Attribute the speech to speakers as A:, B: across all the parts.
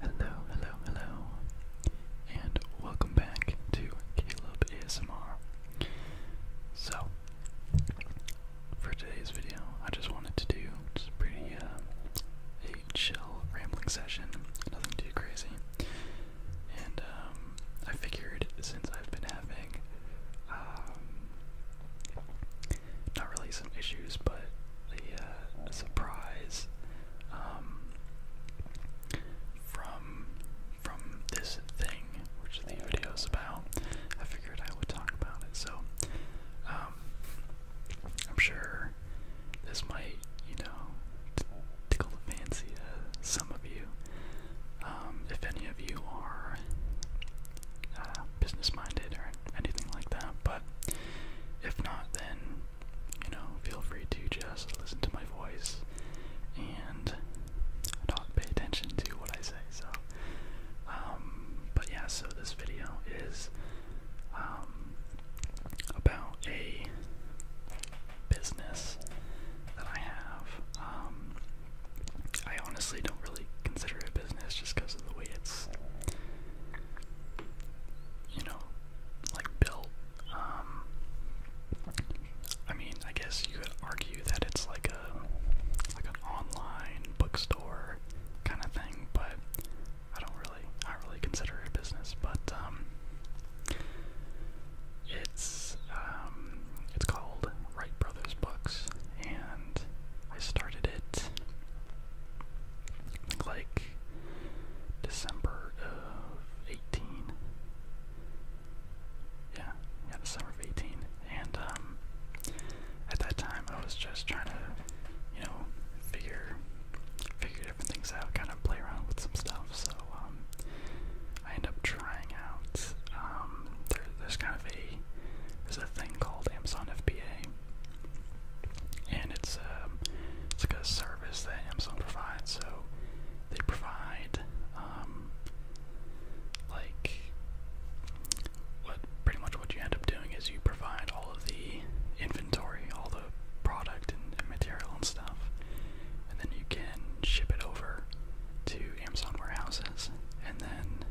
A: Hello, hello, hello, and welcome back to Caleb ASMR. So, for today's video, I just wanted to do pretty uh, chill rambling session, nothing too crazy. And um, I figured since I've been having um, not really some issues, but the uh, surprise um, from from this thing, which the video is about, I figured I would talk about it. So um, I'm sure this might, you know, tickle the fancy of some of you. Um, if any of you are uh, business-minded or anything like that, but if not, then you know, feel free to just listen to my voice and not pay attention to what I say. So, um, but yeah, so this video is um, about a business that I have. Um, I honestly don't really consider it a business just because of the way it's, you know, like built. Um, I mean, I guess you could argue that it's like a like an online bookstore kind of thing, but I don't really, I don't really consider it a business, but um, it's um, it's called Wright Brothers Books, and I started it like December of eighteen. Yeah, yeah, December of eighteen, and um, at that time I was just trying to, you know, figure figure few different things out, kind of play around with some stuff. So um, I end up trying out. Um, there, there's kind of a there's a thing called Amazon FBA, and it's um, it's like a service that Amazon provides. So they provide um, like what pretty much what you end up doing is you provide all all the inventory, all the product and, material and stuff, and then you can ship it over to Amazon warehouses, and then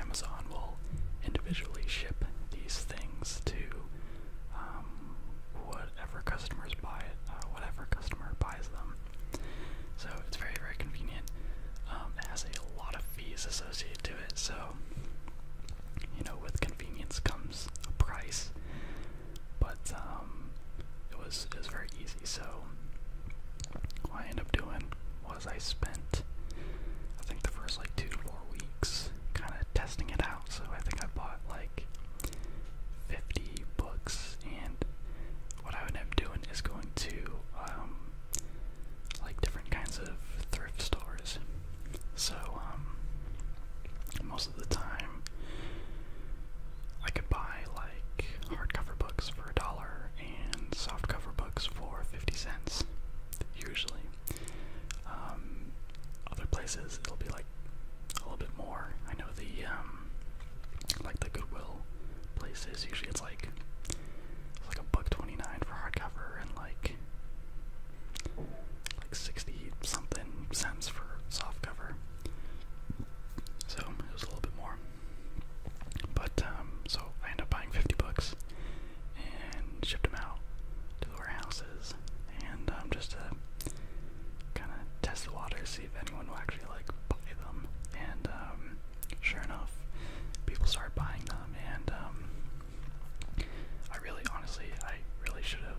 A: Amazon will individually ship these things to um, whatever customers buy uh, whatever customer buys them. So it's very, very convenient. Um, it has a lot of fees associated to it, so you know, with convenience comes price. But um, it was it was very easy. So what I end up doing was I spent I think the first like two to four weeks kind of testing it out. So I think I bought like 50 books, and what I would end up doing is going to um, like different kinds of thrift stores so, um, most of the time, I could buy like hardcover books for a dollar and softcover books for 50 cents, usually. Um, other places it'll be like a little bit more. I know the, um, like the Goodwill places, usually it's like, it's like a buck 29 for hardcover and like like 60 something cents for soft cover. So it was a little bit more. But um, so I end up buying 50 books and ship them out to the warehouses and um, just to kind of test the water, see if anyone will actually like buy them. And um, sure enough, people start buying them and I really, honestly, I really should have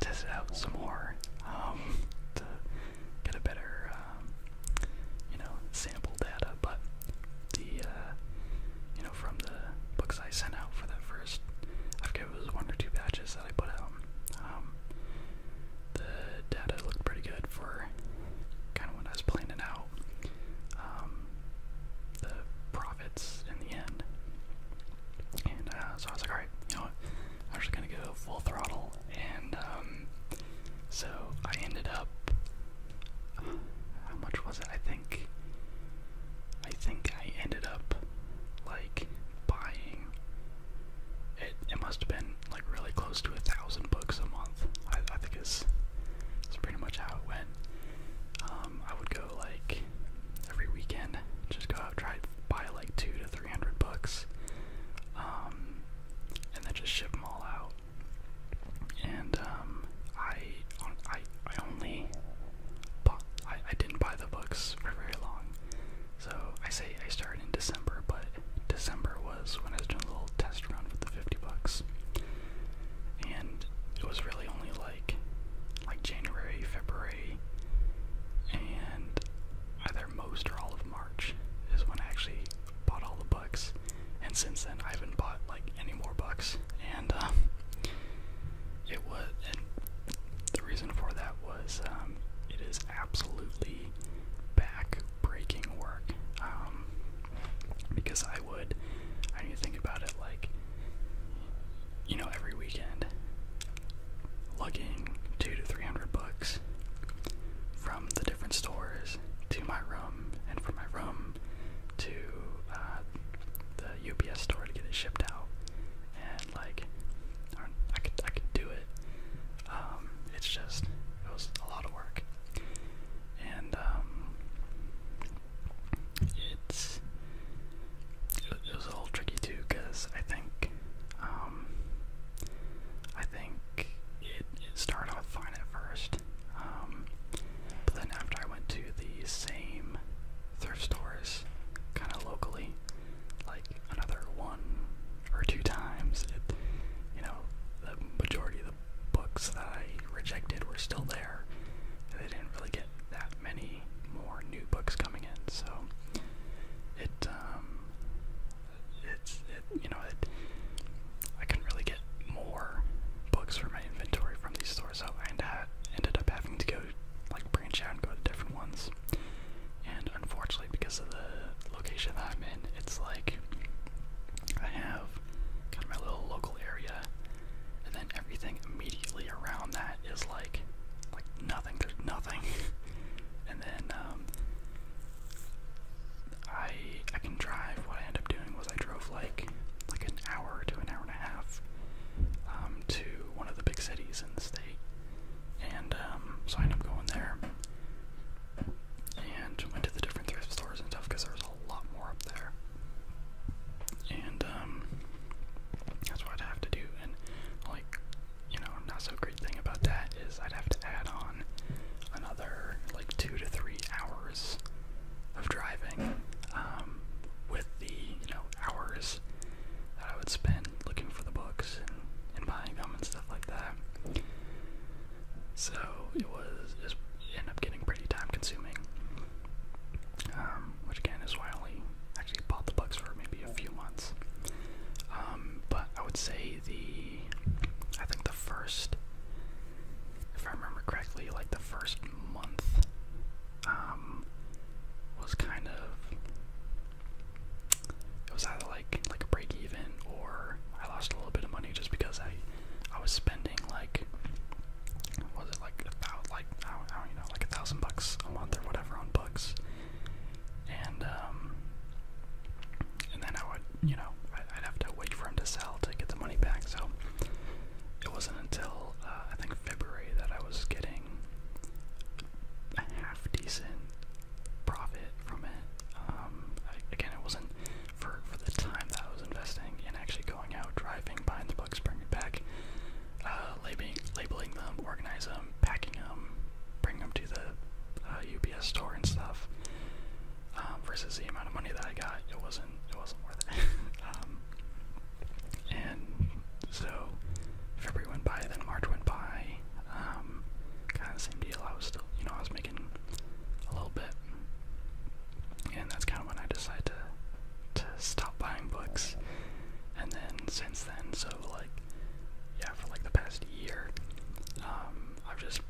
A: tested out some more um, to get a better, um, you know, sample data. But the, uh, you know, from the books I sent out for that first, I forget it was one or two batches that I put out. Um, the data looked pretty good for kind of what I was planning out the profit in the end. And uh, so I was like, alright, you know what? I'm just gonna go full throttle. And um, so I ended up. how much was it? I think. I think I ended up like buying. It it must have been like really close to a thousand books a month. I, think its That's pretty much how it went. Um, I would go like every weekend. Just go out, try to buy like two to three hundred books, um, and then just ship them all out. And um, I, I, I only, bought, I, I didn't buy the books for very long. So I say I started in December, but December was when I was doing a little test run with the fifty bucks, and it was really only like like like January, February, and either most or all of March is when I actually bought all the bucks. And since then, I haven't bought like any more bucks. And um, it was, and the reason for that was um, it is absolutely back breaking work um, because I would I need to think about it like, you know, every weekend, lugging two to three hundred bucks from the different stores to my room, and from my room to uh, the UPS store to get it shipped out, and like, I, can I could do it. Um, it's just it was a lot of work, and um, it's it was a little tricky too because I think um, I think it, started off fine at first, um, but then after I went to the same thrift stores, kind of locally, like another one or two times, it you know the majority of the books that I rejected were still there. They didn't really get that many more new books coming in, so it um, it's it you know it I couldn't really get more books for my inventory from these stores, so I ended up having to go like branch out and go to different ones. And unfortunately, because of the location that I'm in, it's like I have kind of my little local area, and then everything immediately around that is like, like nothing. There's nothing, and then um, I I can drive. What I end up doing was I drove like like an hour to an hour and a half um, to one of the big cities in the state, and um, so I end up going there. And went to the different thrift stores and stuff because there was a lot more up there. And um, that's what I'd have to do. And like, you know, not so great thing about that is I'd have to add on another like two to three hours of driving um, with the you know hours that I would spend looking for the books and, and buying them and stuff like that. So it was, it was ended up getting pretty time consuming um, which again is why I only actually bought the books for maybe a few months. Um, but I would say the, I think the first, if I remember correctly, like the first month um, was kind of, it was either like like a break even or I lost a little bit of money just because I I was spending spending like was it like about like I don't, I don't you know like a thousand bucks a month or whatever on books, and um, and then I would you know I'd have to wait for him to sell to get the money back. So it wasn't until uh, I think February that I was getting a half decent profit from it. Um, I, again, it wasn't for for the time that I was investing in actually going out, driving, buying the books, bringing it back, uh, labeling, labeling them, organizing them, packing them, bringing them to the uh, UPS store and stuff. Um, versus the amount of money that I got, it wasn't it wasn't worth it. um, and so February went by, then March went by. Um, kind of the same deal. I was still, you know, I was making a little bit and that's kind of when I decided to to stop buying books. And then since then, so like yeah, for like the past year, um, I've just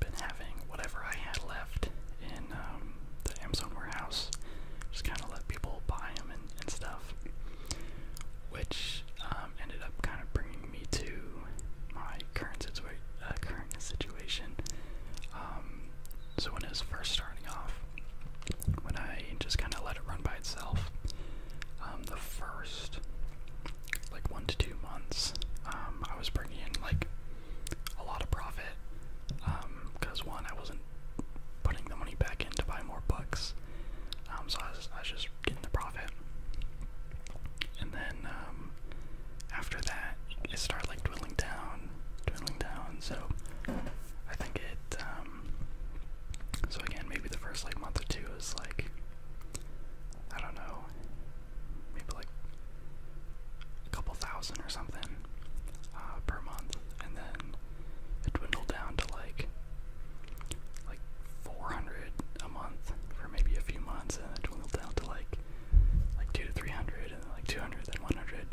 A: been having whatever I had left in um, the Amazon warehouse, just kind of let people buy them and, and stuff, which um, ended up kind of bringing me to my current uh, situation, um, so when it was first starting off, when I just kind of let it run by itself, um, the first like one to two months, um, I was bringing in like a lot of profit because um, one, I wasn't putting the money back in to buy more books, um, so I was, I was just getting the profit, and then. Um, after that, it started like dwindling down, dwindling down. So I think it. Um, so again, maybe the first like month or two is like I don't know, maybe like a couple thousand or something uh, per month, and then it dwindled down to like like 400 a month for maybe a few months, and it dwindled down to like like two to three hundred, and like two hundred, then one hundred,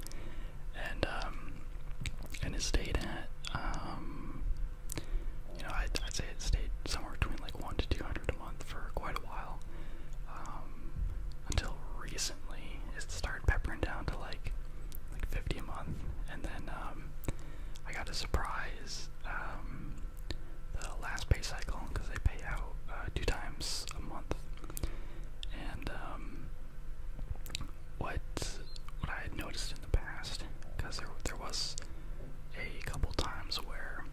A: and um, it stayed at um, you know, I'd, say it stayed somewhere between like one to two hundred a month for quite a while, um, until recently it started peppering down to like like fifty a month, and then um, I got a surprise the last pay cycle because they pay out uh, two times a month. And um, what what I had noticed in the past, because there there was a couple times where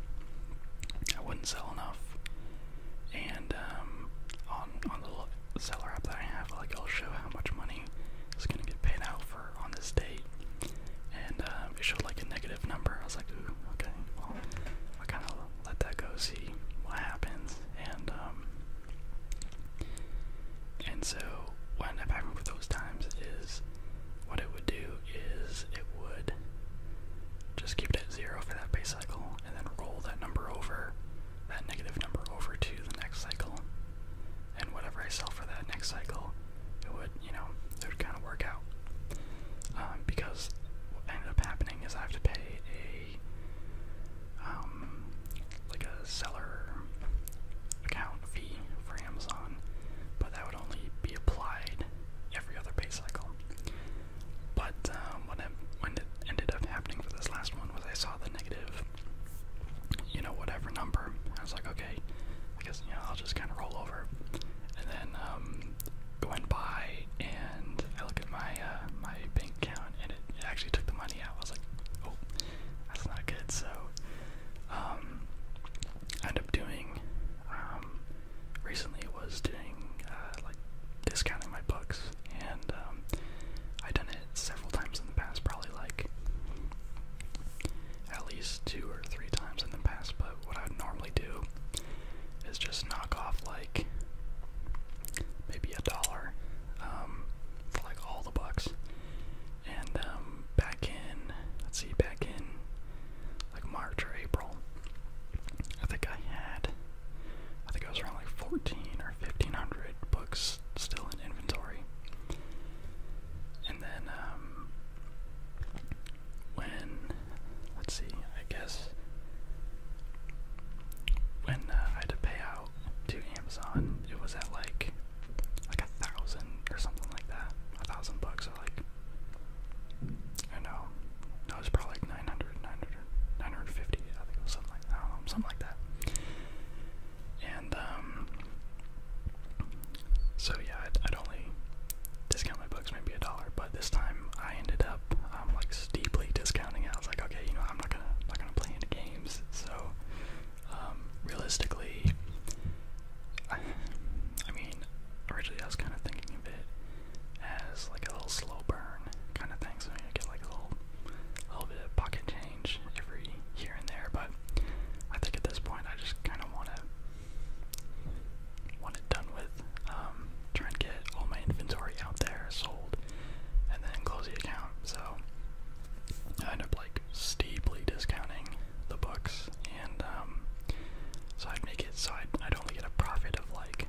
A: I wouldn't sell enough, and um, on on the seller app that I have, like I'll show how much money is gonna get paid out for on this date, and um, it showed like a negative number. I was like, ooh, okay, well I kind of let that go, see what happens, and um, and so when I up happening with those times is what it would do is it would just keep it at zero for that base cycle, and then roll that number over, that negative number over to the next cycle, and whatever I sell for that next cycle, it would you know, it would kind of work out. Um, because what ended up happening is I have to pay a, um, like a seller account fee for Amazon, but that would only be applied every other pay cycle. But um, what, I, when it ended up happening for this last one was I saw the negative, you know, whatever number. I was like, okay, I guess you know I'll just kind of roll over, and then um, went by and I look at my uh, my bank account and it, actually took the money out. I was like, oh, that's not good. So um, I ended up doing um, recently was doing uh, like discounting my books and um, I've done it several times in the past, probably like at least two or three times in the past. But what I would normally do is just knock off like maybe a dollar um, for like all the bucks. And um, back in, let's see, back in like March or April, I think I had, I think it was around like 14 or 1500 books still in inventory. And then um, when let's see, I guess when uh, I had to pay out to Amazon, it was at like like a thousand or something like that, a thousand bucks or like I know, no, it was probably like I think it was something like I something like that. And um, so yeah, I'd only discount my books maybe a dollar, but this time I ended up um, like steeply discounting it. I was like, okay, you know, I'm not gonna I'm not gonna play any games. So um, realistically, I, I mean, originally I was kind of thinking of it as like a little slow burn kind of thing. So you get like a little, little bit of pocket change every here and there. But I think at this point I just kind of want to want it done with. Um, try and get all my inventory out there sold, and then close the account. So I end up like steeply discounting the books, and um, so I'd make it so I'd, only get a profit of like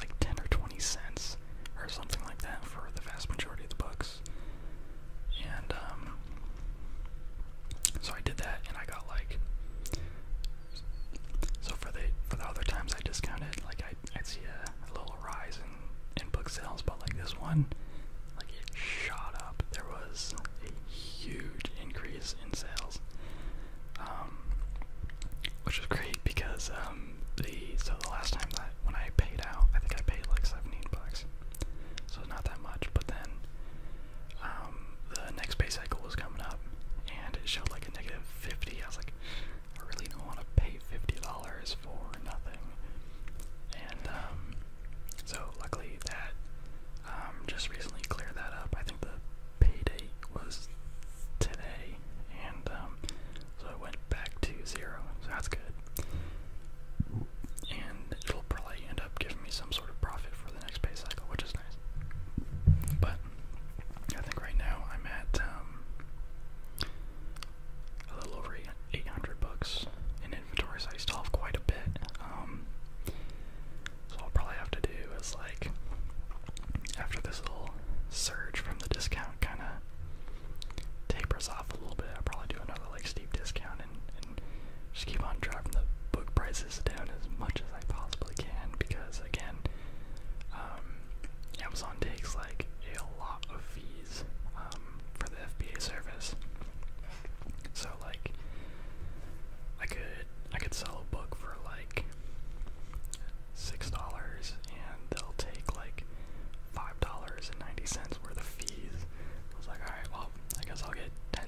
A: like ten or twenty cents or something like that for the vast majority of the books, and um, so I did that, and I got like. So for the for the other times I discounted, like I i see a, little rise in in book sales, but like this one, like it shot up. There was a huge increase in sales, um, which was great because um the so the last time that when I paid out, I think I paid like seventeen bucks, so not that much. But then um um, the next pay cycle was coming up, and it showed like a negative 50. I was like, I really don't want to pay $50 for nothing. And um, so, luckily, that um, just recently cleared that up. I think the pay date was today, and um, so it went back to zero, so that's good and it'll probably end up giving me some sort of profit for the next pay cycle, which is nice. But I think right now I'm at um, a little over 800 bucks and inventory, so I still have quite a bit. Um, so I'll probably have to do is like after this little surge from the discount kind of tapers off a little bit, I'll probably do another like steep discount down and, and just keep on driving the book prices down as much as I possibly can because again, um, Amazon takes like a lot of fees um, for the FBA service. So like, I could I could sell a book for like six dollars and they'll take like five dollars and ninety cents worth of fees. I was like, all right, well I guess I'll get 10,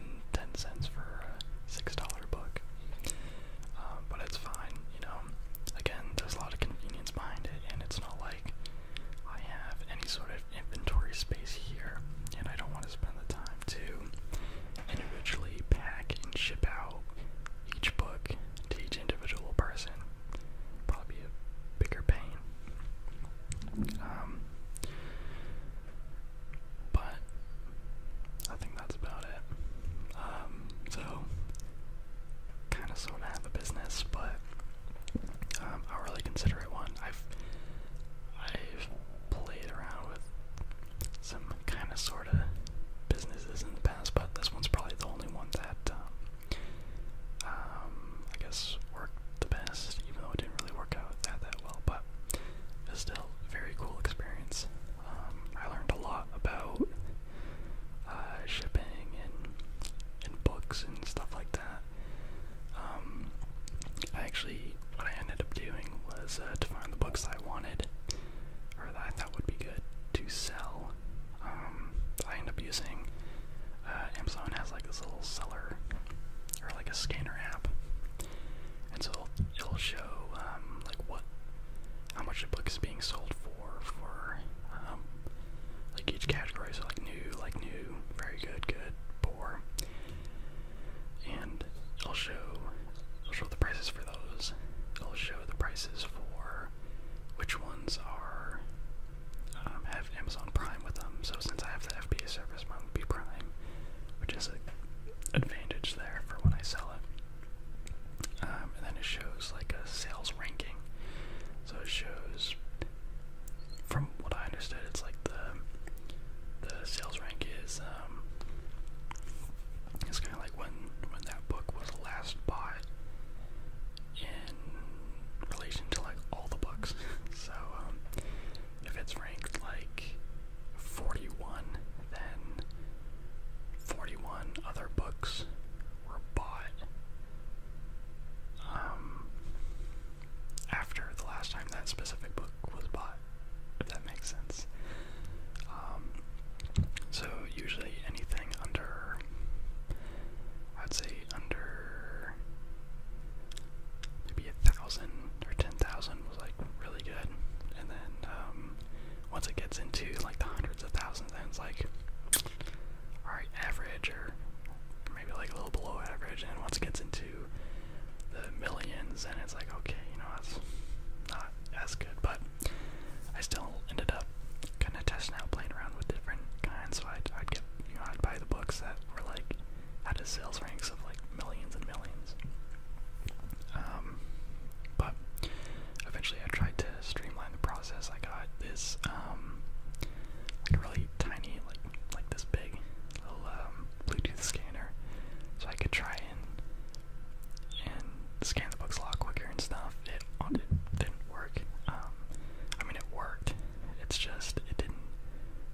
A: cents for a six dollar book. Um, but it's fine, you know. Again, there's a lot of convenience behind it, and it's not like I have any sort of inventory space here, and I don't want to spend the time to individually pack and ship out each book to each individual person. Probably a bigger pain. Um, but I think that's about it. Um, so kind of sort of have a business, but um, I don't really consider it one. I've I've played around with some kind of sort of businesses in the past, but this one's probably the only one that um, um, I guess worked the best, even though it didn't really work out with that that well, but it was still a very cool experience. Um, I learned a lot about uh, shipping and and books and stuff like that. Um, I actually what I ended up doing was uh, to find the books that I wanted or that I thought would be good to sell. Um, I ended up using uh, Amazon has like this little seller or like a scanner app, and so it'll, show um, like what, how much a book is being sold for for um, like each category. So like new, like new, very good, good, poor, and it'll show it'll show the prices for those. It'll show the prices for which ones are um, Amazon Prime with them, so since I have the FBA service, mine would be Prime, which is an advantage there for when I sell it. Um, and then it shows like a sales ranking, so it shows. From what I understood, it's like the the sales rank is um, it's kind of like when when that book was last bought in relation to like all the books. so um, if it's ranked like 41, then 41 other books were bought um, after the last time that specific book was bought, if that makes sense. Um, so usually anything under, I'd say under maybe a thousand or ten thousand was like really good, and then um, once it gets into like the hundreds of thousands, then it's like all right, average or maybe like a little below average, and once it gets into the millions, and it's like okay, you know that's not as good, but I still ended up kind of testing out, playing around with different kinds. So I'd, I'd get, you know, I'd buy the books that were like had his sales ranks of like millions and millions. Um, but eventually, I tried to streamline the process. I got this um, like really tiny, like like this big little um, Bluetooth scanner, so I could try and and scan the books a lot quicker and stuff. It, didn't work. I mean, it worked. It's just it didn't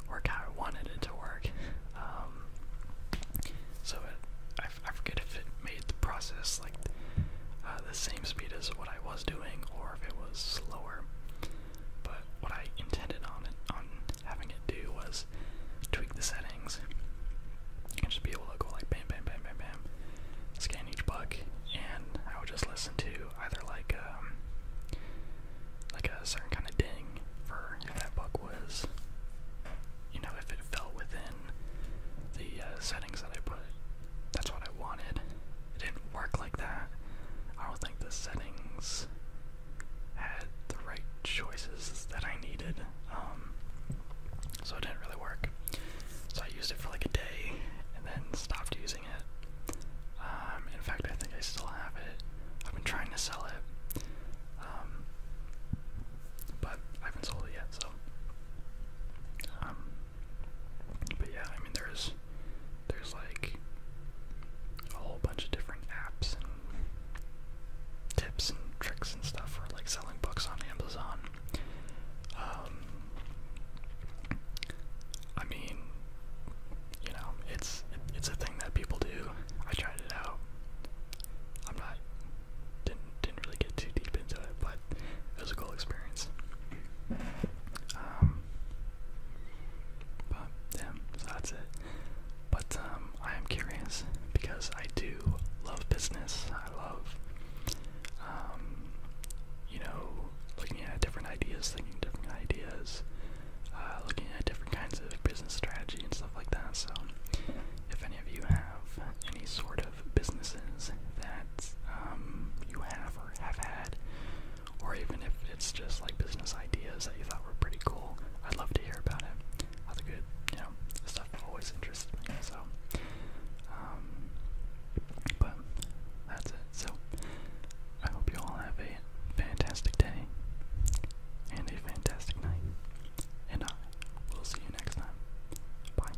A: work how I wanted it to work. Um, so I, I forget if it made the process like uh, the same speed as what I was doing or if it was slower. But what I intended on it, on having it do was tweak the settings and just be able to go like bam, bam, bam, bam, bam, scan each book, and I would just listen to either like um, like a certain kind of ding for if that bug was, you know, if it fell within the uh, settings that I put. That's what I wanted. It didn't work like that. I don't think the settings had the right choices that I needed, um, so it didn't really work. So I used it for like a day and then stopped using it. Um, in fact, I think I still have it. I've been trying to sell it, um, but I haven't sold it yet. So, um, but yeah, I mean, there's there's like a whole bunch of different apps and tips and tricks and stuff for like selling books on Amazon. I mean, you know, it's it's a thing that people do. I tried it out. I'm not didn't didn't really get too deep into it, but it was a cool experience. Um, but yeah, so that's it. But um, I am curious because I do love business. I love, um, you know, looking at different ideas, thinking different ideas, uh, looking at different kinds of business strategy and stuff like that. So, if any of you have any sort of businesses that um, you have or have had, or even if it's just like business ideas that you thought were pretty cool, I'd love to hear about it. Other good, you know, stuff always interested me. So, um, but that's it. So, I hope you all have a fantastic day and a fantastic night. And I will see you next time. Bye.